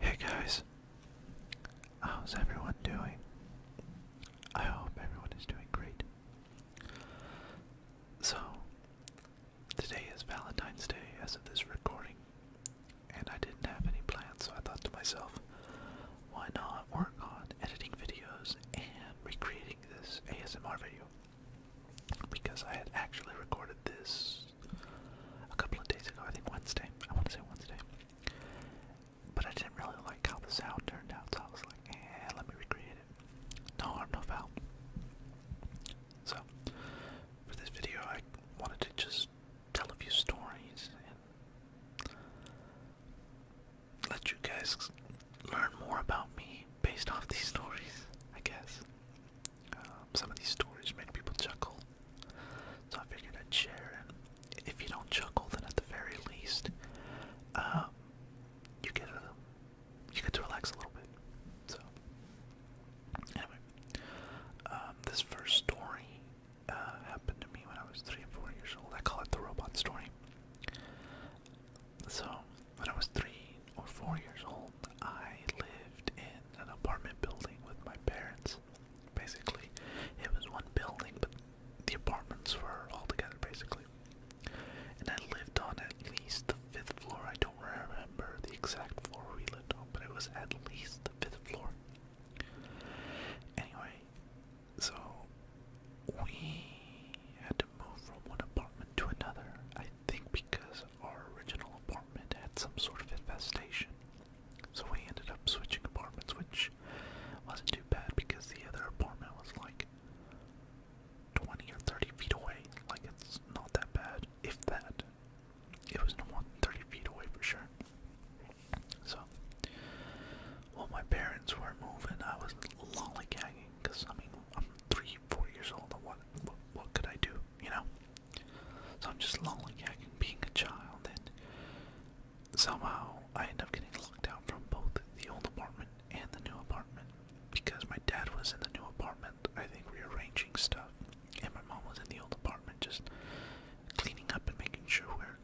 Hey guys, how's everyone doing? I hope everyone is doing great. So, today is Valentine's Day as of this recording, and I didn't have any plans, so I thought to myself, why not work on editing videos and recreating this ASMR video? Because I had actually recorded this a couple of days ago, I think Wednesday. I want to say Wednesday. But I didn't really like how the sound turned out, so I was like, eh, let me recreate it. No harm, no foul. So, for this video, I wanted to just tell a few stories and let you guys learn more about me based off these stories, I guess. Um, some of these stories make people chuckle, so I figured I'd share. And if you don't chuckle, then at the very least, um, you get a, you get to relax a little bit. So, anyway, um, this first story uh, happened to me when I was three or four years old. I call it the robot story. So, when I was three or four years old, I lived in an apartment building with my parents. Basically, it was one building, but the apartments were all together, basically. And I lived on at least the fifth floor. I don't remember the exact floor we lived on, but it was at least the fifth floor. Anyway, so we had to move from one apartment to another. I think because our original apartment had some sort of infestation. So we ended up switching apartments, which wasn't too bad because the other apartment was like 20 or 30 feet away. Like, it's not that bad, if that. It was no more than 30 feet away for sure. So, while my parents were moving, I was lollygagging because, I mean, I'm three, four years old, what, what could I do, you know? So I'm just lollygagging, being a child, and somehow I end up getting locked out from both the old apartment and the new apartment because my dad was in the new apartment, I think rearranging stuff, and my mom was in the old apartment just cleaning up and making sure we're,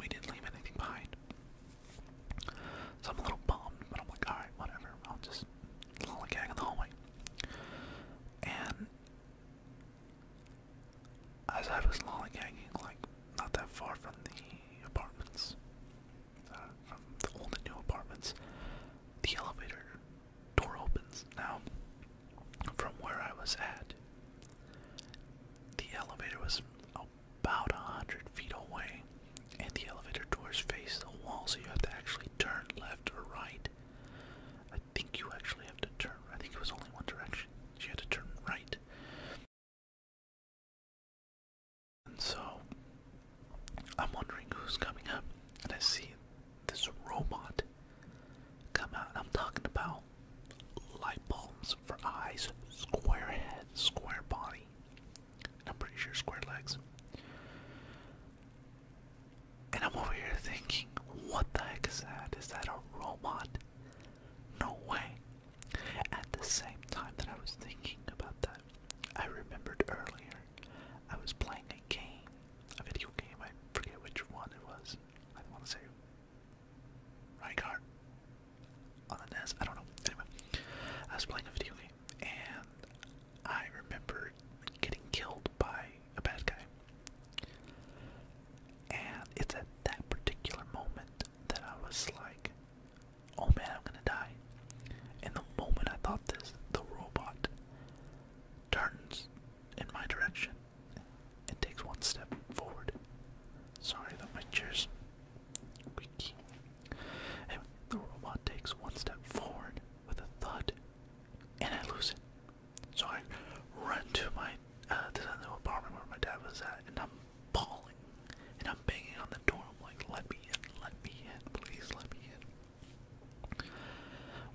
we didn't leave anything behind. So I'm a little bummed, but I'm like, alright, whatever, I'll just lollygag in the hallway. And as I was hanging, like not that far from the apartments, uh, the old and new apartments, the elevator door opens. Now, from where I was at, the elevator was about a hundred feet away, and the elevator doors face the wall, so you have to actually turn left or right I think you actually have to turn. I think it was only one direction. She had to turn right. And so I'm wondering who's coming up, and I see this robot come out. I'm talking about light bulbs for eyes, square head, square body, and I'm pretty sure square legs. And I'm over here thinking, what the heck is that? Is that a robot? No way. At the same time that I was thinking about that, I remembered earlier I was playing a game, a video game, I forget which one it was. I want to say Rygar on the NES, I don't know. Anyway, I was playing a video game and I remember getting killed by a bad guy. And it's at that particular moment that I was like, oh man, I'm gonna die. And the moment I thought this, the robot turns in my direction and takes one step forward. Sorry that my chair's squeaky. the robot takes one step forward with a thud, and I lose it. So I run to my uh, apartment where my dad was at, and I'm bawling, and I'm banging on the door. I'm like, "Let me in, let me in, please, let me in."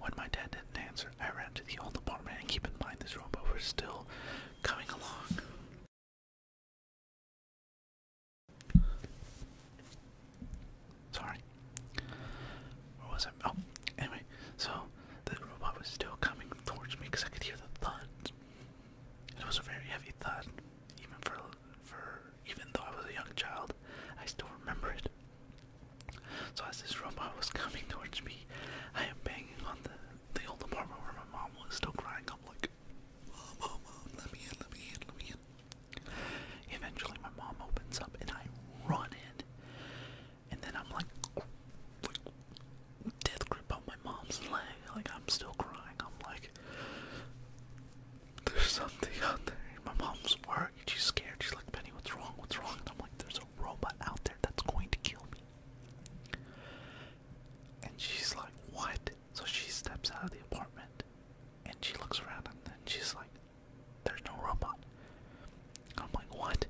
When my dad didn't answer, I ran to the old apartment. And keep in mind, this robot was still coming along. Sorry, where was I? Oh, anyway, so the robot was still coming towards me because I could hear the thud. It was a very heavy thud, even for for even though I was a young child, I still remember it. So as this robot was coming towards me, I am banging on the the old apartment where my mom was still crying. I'm like, mom, mom, mom, let me in, let me in, let me in. Eventually, my mom opens up and I run in and then I'm like, death grip on my mom's leg. Like I'm still crying. I'm like, there's something out there. My mom's worried. She's scared. She's like, Penny, what's wrong? What's wrong? And I'm like, there's a robot out there that's going to kill me. And she's like, what? So she steps out of the apartment and she looks around and then she's like, there's no robot. I'm like, what?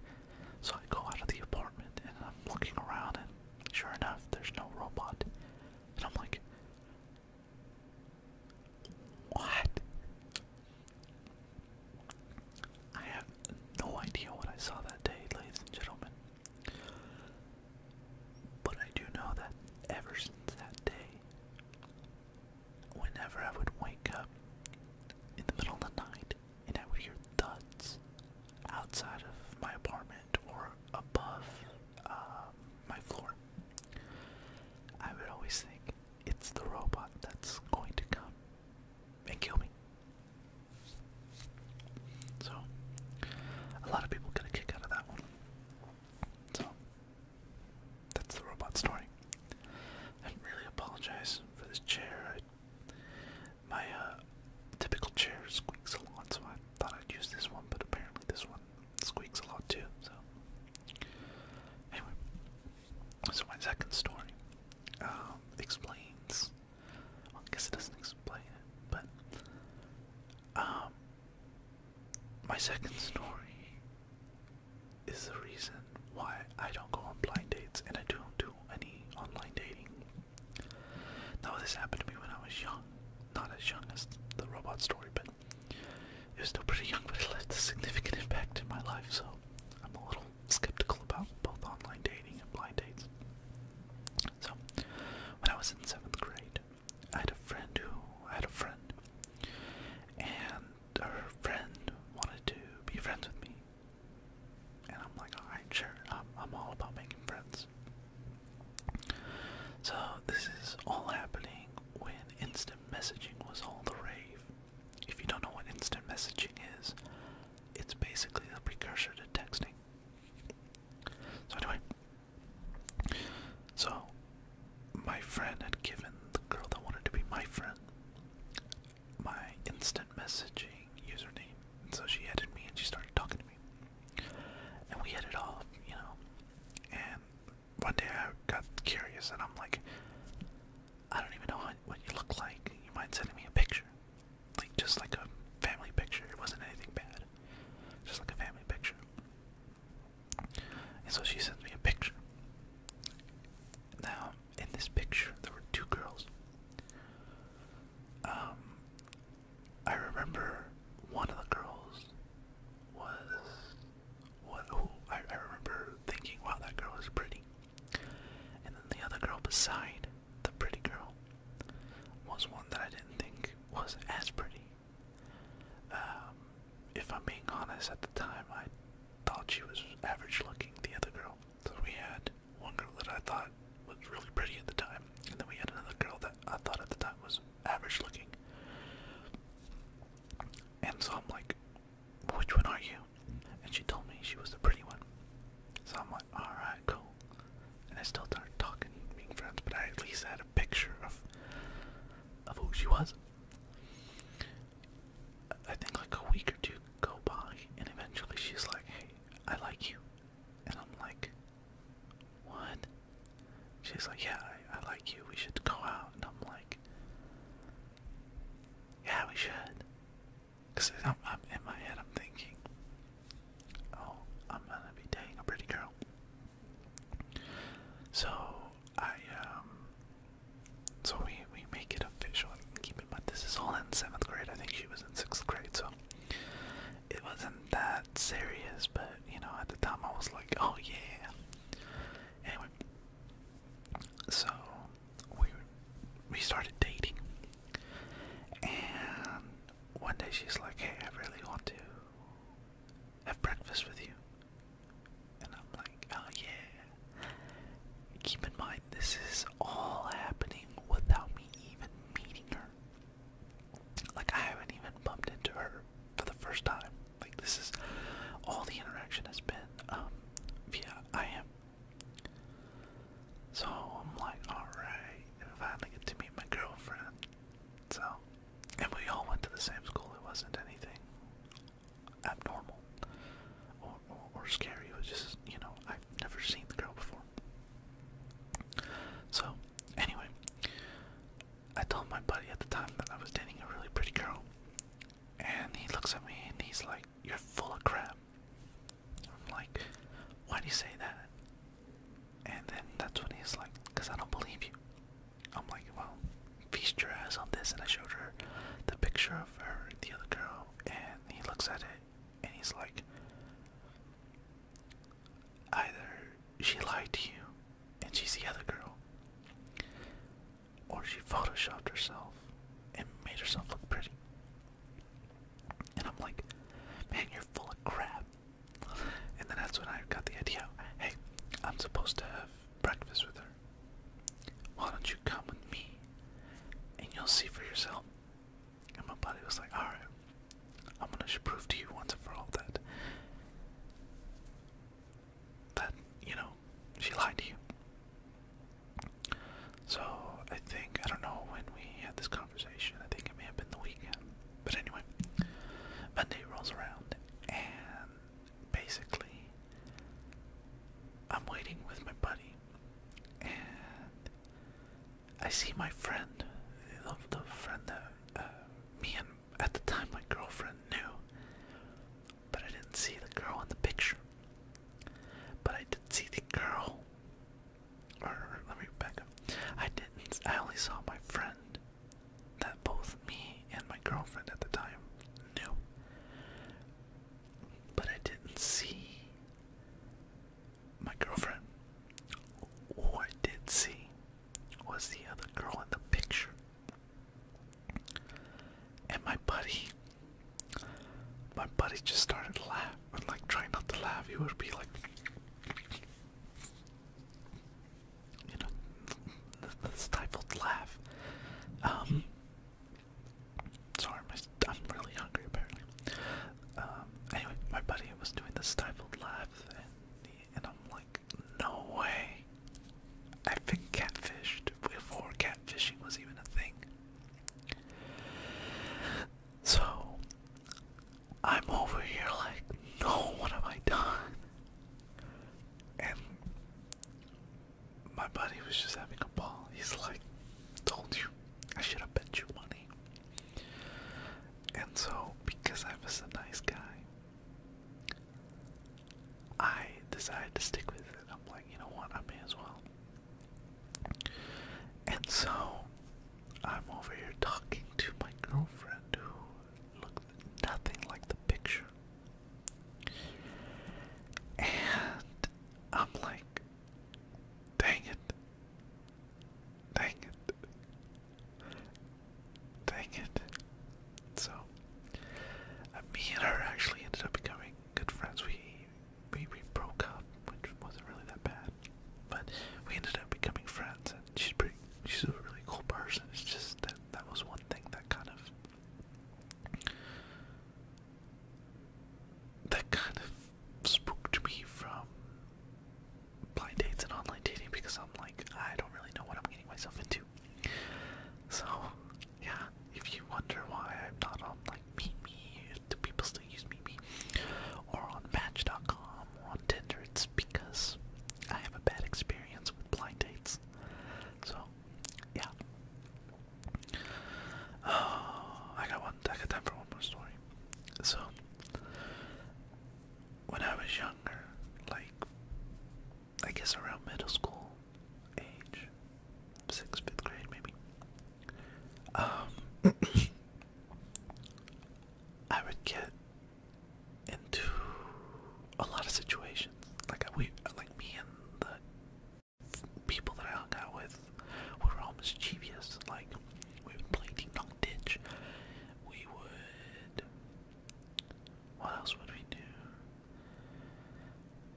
So I go out of the apartment and I'm looking around, and sure enough, there's no robot. And I'm like, what? I have no idea what I saw that day, ladies and gentlemen. But I do know that ever since that day, whenever I would wake up in the middle of the night, and I would hear thuds outside of my apartment or above uh, my floor. I would always think it's the robot that's going to come and kill me. So, a lot of people got a kick out of that one. So, that's the robot story. I really apologize for this chair. My uh, typical chair squeaks a lot, so I thought I'd use this one, but apparently this one squeaks a lot too. So anyway, so my second story um, explains. I guess it doesn't explain but um, my second story is the reason why I don't go on blind dates and I don't do any online dating. Now, this happened to me when I was young. Not as young as the robot story, but it was still pretty young, but it left a significant impact in my life, so I'm a little skeptical about both online dating and blind dates. So, when I was in seventh grade, I had a friend who had a friend, and her friend wanted to be friends with me, and I'm like, alright, sure, I'm, all about making friends. So, this is all happening when instant messaging was all the rave. If you don't know what instant messaging is, it's basically the precursor to texting. So, anyway, so my friend had given the girl that wanted to be my friend my instant messaging username. And so she added me and she started talking to me. And we hit it off, you know. And one day I got curious and I'm like, I don't even know what you look like. You mind sending me a picture? Like, just like a family picture. It wasn't anything bad. Just like a family picture. And so she sends me a picture. Now, in this picture, there were two girls. Um, I remember one of the girls was what? Who I, I remember thinking, wow, that girl is pretty. And then the other girl beside the pretty girl was one that I didn't think was as pretty. Um, if I'm being honest, at the time I thought she was average looking, the other girl. So we had one girl that I thought was really pretty at the time, and then we had another girl that I thought at the time was average looking. And so I'm like, which one are you? And she told me she was the pretty one. So I'm like, alright, cool. And I still started talking, being friends, but I at least had a picture of of who she was. I think like a week or two go by, and eventually she's like, hey, I like you. And I'm like, what? She's like, yeah, I, like you. We should go out. And I'm like, yeah, we should. Because I'm, I'm, in my head, I'm thinking, oh, I'm going to be dating a pretty girl. So I, um, so we, we make it official. keep in mind, this is all in seventh grade. I think she was in sixth grade, so it wasn't that serious. But you know, at the time, I was like, oh yeah. Anyway, so we we started dating, and one day she's like, hey, I really want to have breakfast with you. And I'm like, oh yeah, Keep in mind, this is all happening without me even meeting her. Like, I haven't even bumped into her for the first time. Like, this is all the interaction has been um, via I am. So I'm like, alright, I finally get to meet my girlfriend. So, and we all went to the same school, it wasn't anything abnormal or, or, or scary. It was just, you know, I've never seen the girl before. So, anyway, I told my buddy at the time that I was dating a really pretty girl, and he looks at me and he's like, You're full of crap. I'm like, Why do you say that? And then that's when he's like, Because I don't believe you. I'm like, Well, feast your eyes on this. And I showed her the picture of her, the other girl, and he looks at it and he's like, either she lied to you and she's the other girl, or she photoshopped herself and made herself look pretty. And I'm like, man, you're full of crap. And then that's when I got the idea hey, I'm supposed to have breakfast with her. Why don't you come with me and you'll see for yourself? And my buddy was like, alright, I'm gonna prove to you once and for all that that, you know, she lied to you. So I think I don't know when we had this conversation, I think it may have been the weekend. But anyway, Monday rolls around and basically I'm waiting with my buddy and I see my friend, the, friend that uh, me and at the time my girlfriend knew, but I didn't see the girl in the picture. But I did not see the girl. Or let me back up. I didn't. I only saw my friend that both me and my girlfriend at the time knew. But I didn't see my girlfriend. Who I did see was the other girl in the picture. And my buddy, my buddy just started laugh, like trying not to laugh. He would be like, you know, the stifled laugh. Um, Sorry, my, I'm really hungry apparently. Um, anyway, my buddy was doing the stifled laugh, and, and I'm like, no way. I've been catfished before catfishing was even a thing. So, I'm over here like, no, what have I done? And my buddy was just having a ball. He's like, told you I should have bet you money. And so, because I was a nice guy, I decided to stick with it. I'm like, you know what? I may as well. And so, I'm over here talking to my girlfriend who looked nothing like the picture. And I'm like, dang it, Dang it. Dang it. So, uh, me and her actually ended up becoming good friends. We, we, we broke up, which wasn't really that bad. But we ended up becoming friends, and she's pretty, she's a really cool person. It's just that that was one thing that kind of that kind of spooked me from blind dates and online dating because I'm like, I don't really know what I'm getting myself into. So, yeah, if you wonder why I'm not on like Meet do people still use Meet or on Match.com or on Tinder, it's because I have a bad experience with blind dates. So, yeah. Oh, I got one, I got time for one more story. So, when I was younger, like, I guess around middle school age, sixth, fifth grade maybe, um, I would get into a lot of situations. Like, we, like me and the people that I hung out with, we were all mischievous. Like, we would play Ding Ditch. We would. What else would we do?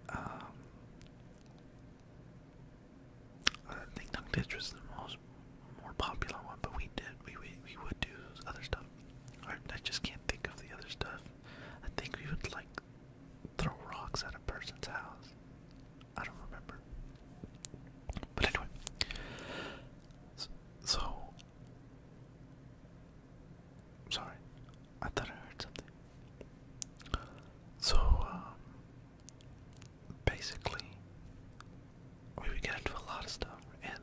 Um. I think Dunk Ditch was the most more popular one, but we did we we, we would do other stuff. Or I just can't think of the other stuff. I think we would like throw rocks at a person's house. I don't remember. But anyway, so sorry, I thought I heard something. So um, basically, we would get into a lot of stuff, and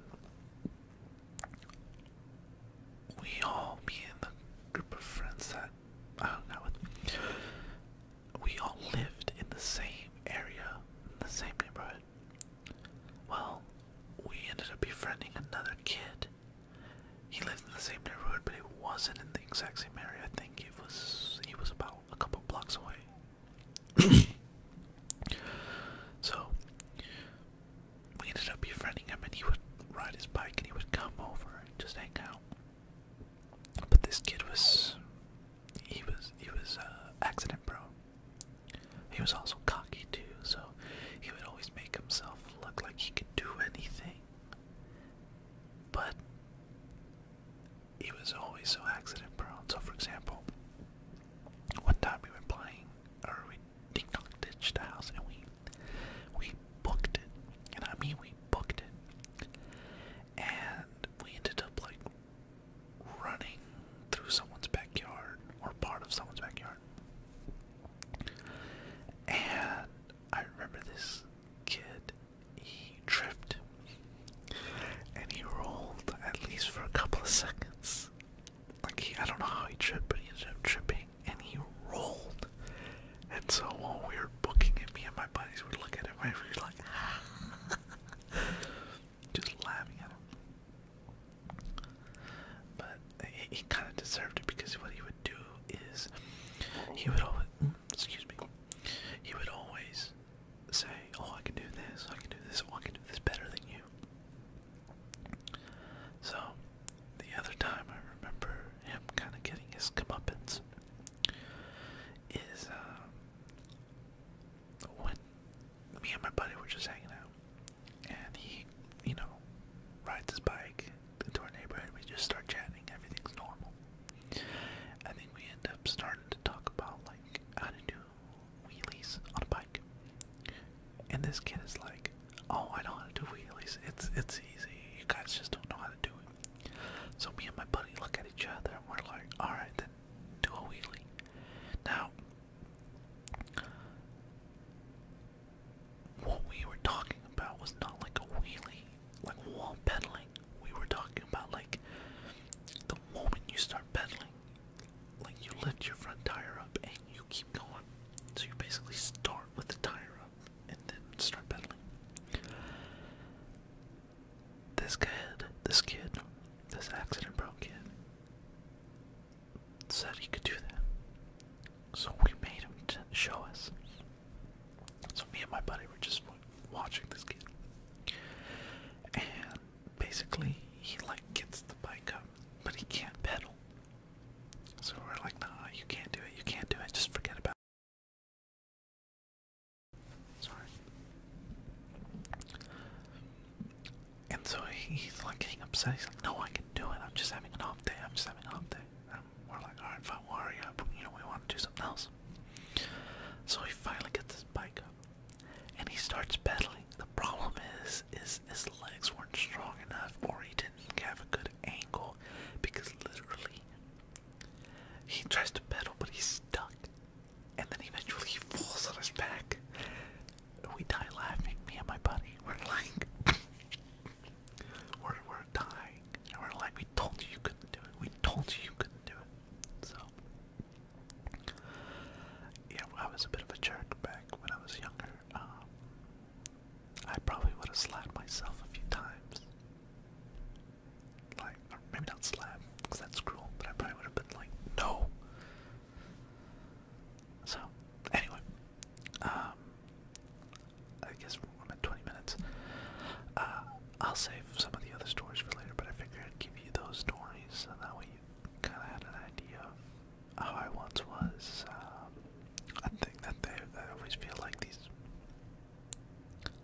we all, me and the group of friends that I hung out with, we all lived in the same area, in the same neighborhood. Well, we ended up befriending another kid. He lived in the same neighborhood, but he wasn't in the exact same area. I think it was he was about a couple blocks away. so we ended up befriending him, and he would ride his bike, and he would come over and just hang out. But this kid was he was he was uh, accident prone. He was also cocky too, so he would always make himself look like he could do anything. But he was always so accident prone. So, for example, one time we were playing, or we ding dong the house, and we we booked it, and I mean we booked it and we ended up like running through someone's backyard or part of someone's backyard. And I remember this kid, he tripped and he rolled at least for a couple of seconds. Like, he, I don't know how he tripped, but he ended up tripping and he rolled. And so while we were Looking at me and my buddies would look at it, right? We were like, just laughing at him. But he, he kind of deserved it because what he would do is he would always, mm, excuse me, he would always say, "Oh, I can do this. I can do this. Oh, I can do this better than you." So, the other time I remember him kind of getting his comeuppance is um, when me and my buddy were just hanging out, and he, you know, rides his bike into our neighborhood, we just start chatting, everything's normal. I think we end up starting to talk about, like, how to do wheelies on a bike. And this kid is like, oh, I know how to do wheelies, it's, it's easy, you guys just don't know how to do it. So me and my buddy look at each other and we're like, alright, then do a wheelie. Now, what we were talking about was not like a wheelie, like wall pedaling. We were talking about like the moment you start pedaling, like you lift your front tire up and you keep going. So you basically start with the tire up and then start pedaling this kid, this kid, this accident broke kid said he could do that. So we made him show us. So me and my buddy were just watching this kid. And basically, he like gets the bike up, but he can't pedal. So we're like, nah, you can't do it, you can't do it, just forget about Sorry. And so he's like getting upset. He's like, "No, I can do it. I'm just having an off day. I'm just having an off day." And we're like, "All right, fine, we'll hurry You know, we want to do something else." So he finally gets his bike up, and he starts pedaling. The problem is, is his legs weren't strong enough, or he didn't have a good angle, because literally, he tries to pedal, but he's stuck and then eventually he falls on his back. We die laughing, me and my buddy. We're like, we're, we're dying. And we're like, we told you you couldn't do it. We told you you couldn't do it. So, yeah, I was a bit of a jerk back when I was younger. Um, I probably would have slapped myself a few times like, or maybe not slap, because that's cruel, but I probably would have been like, no. So, anyway, um, I guess I'm at 20 minutes. Uh, I'll save some of the other stories for later, but I figured I'd give you those stories, and that way you kind of had an idea of how I once was. Um, I think that they, I always feel like these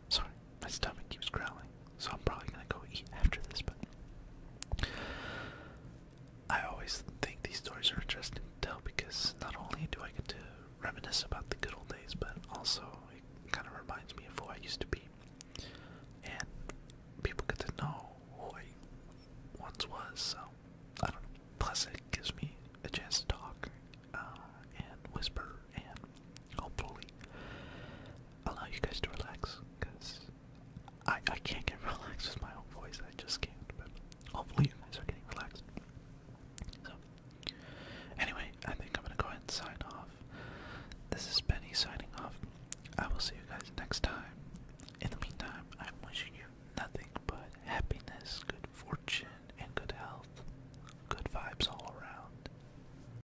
Sorry, my stomach keeps growling, so I'm probably gonna go eat after this, but I always think these stories are interesting to tell because not only do I get to reminisce about the good old days, but also it kind of reminds me of who I used to be. And people get to know who I once was, so I don't know. Plus, it gives me a chance to talk uh, and whisper and hopefully allow you guys to relax because I, I can't get relaxed with my own voice, I just can't, but hopefully you guys are getting relaxed. So, anyway, I think I'm gonna go ahead and sign off. This is Benny signing off. I will see you guys next time. In the meantime, I'm wishing you nothing but happiness, good fortune, and good health. Good vibes all around.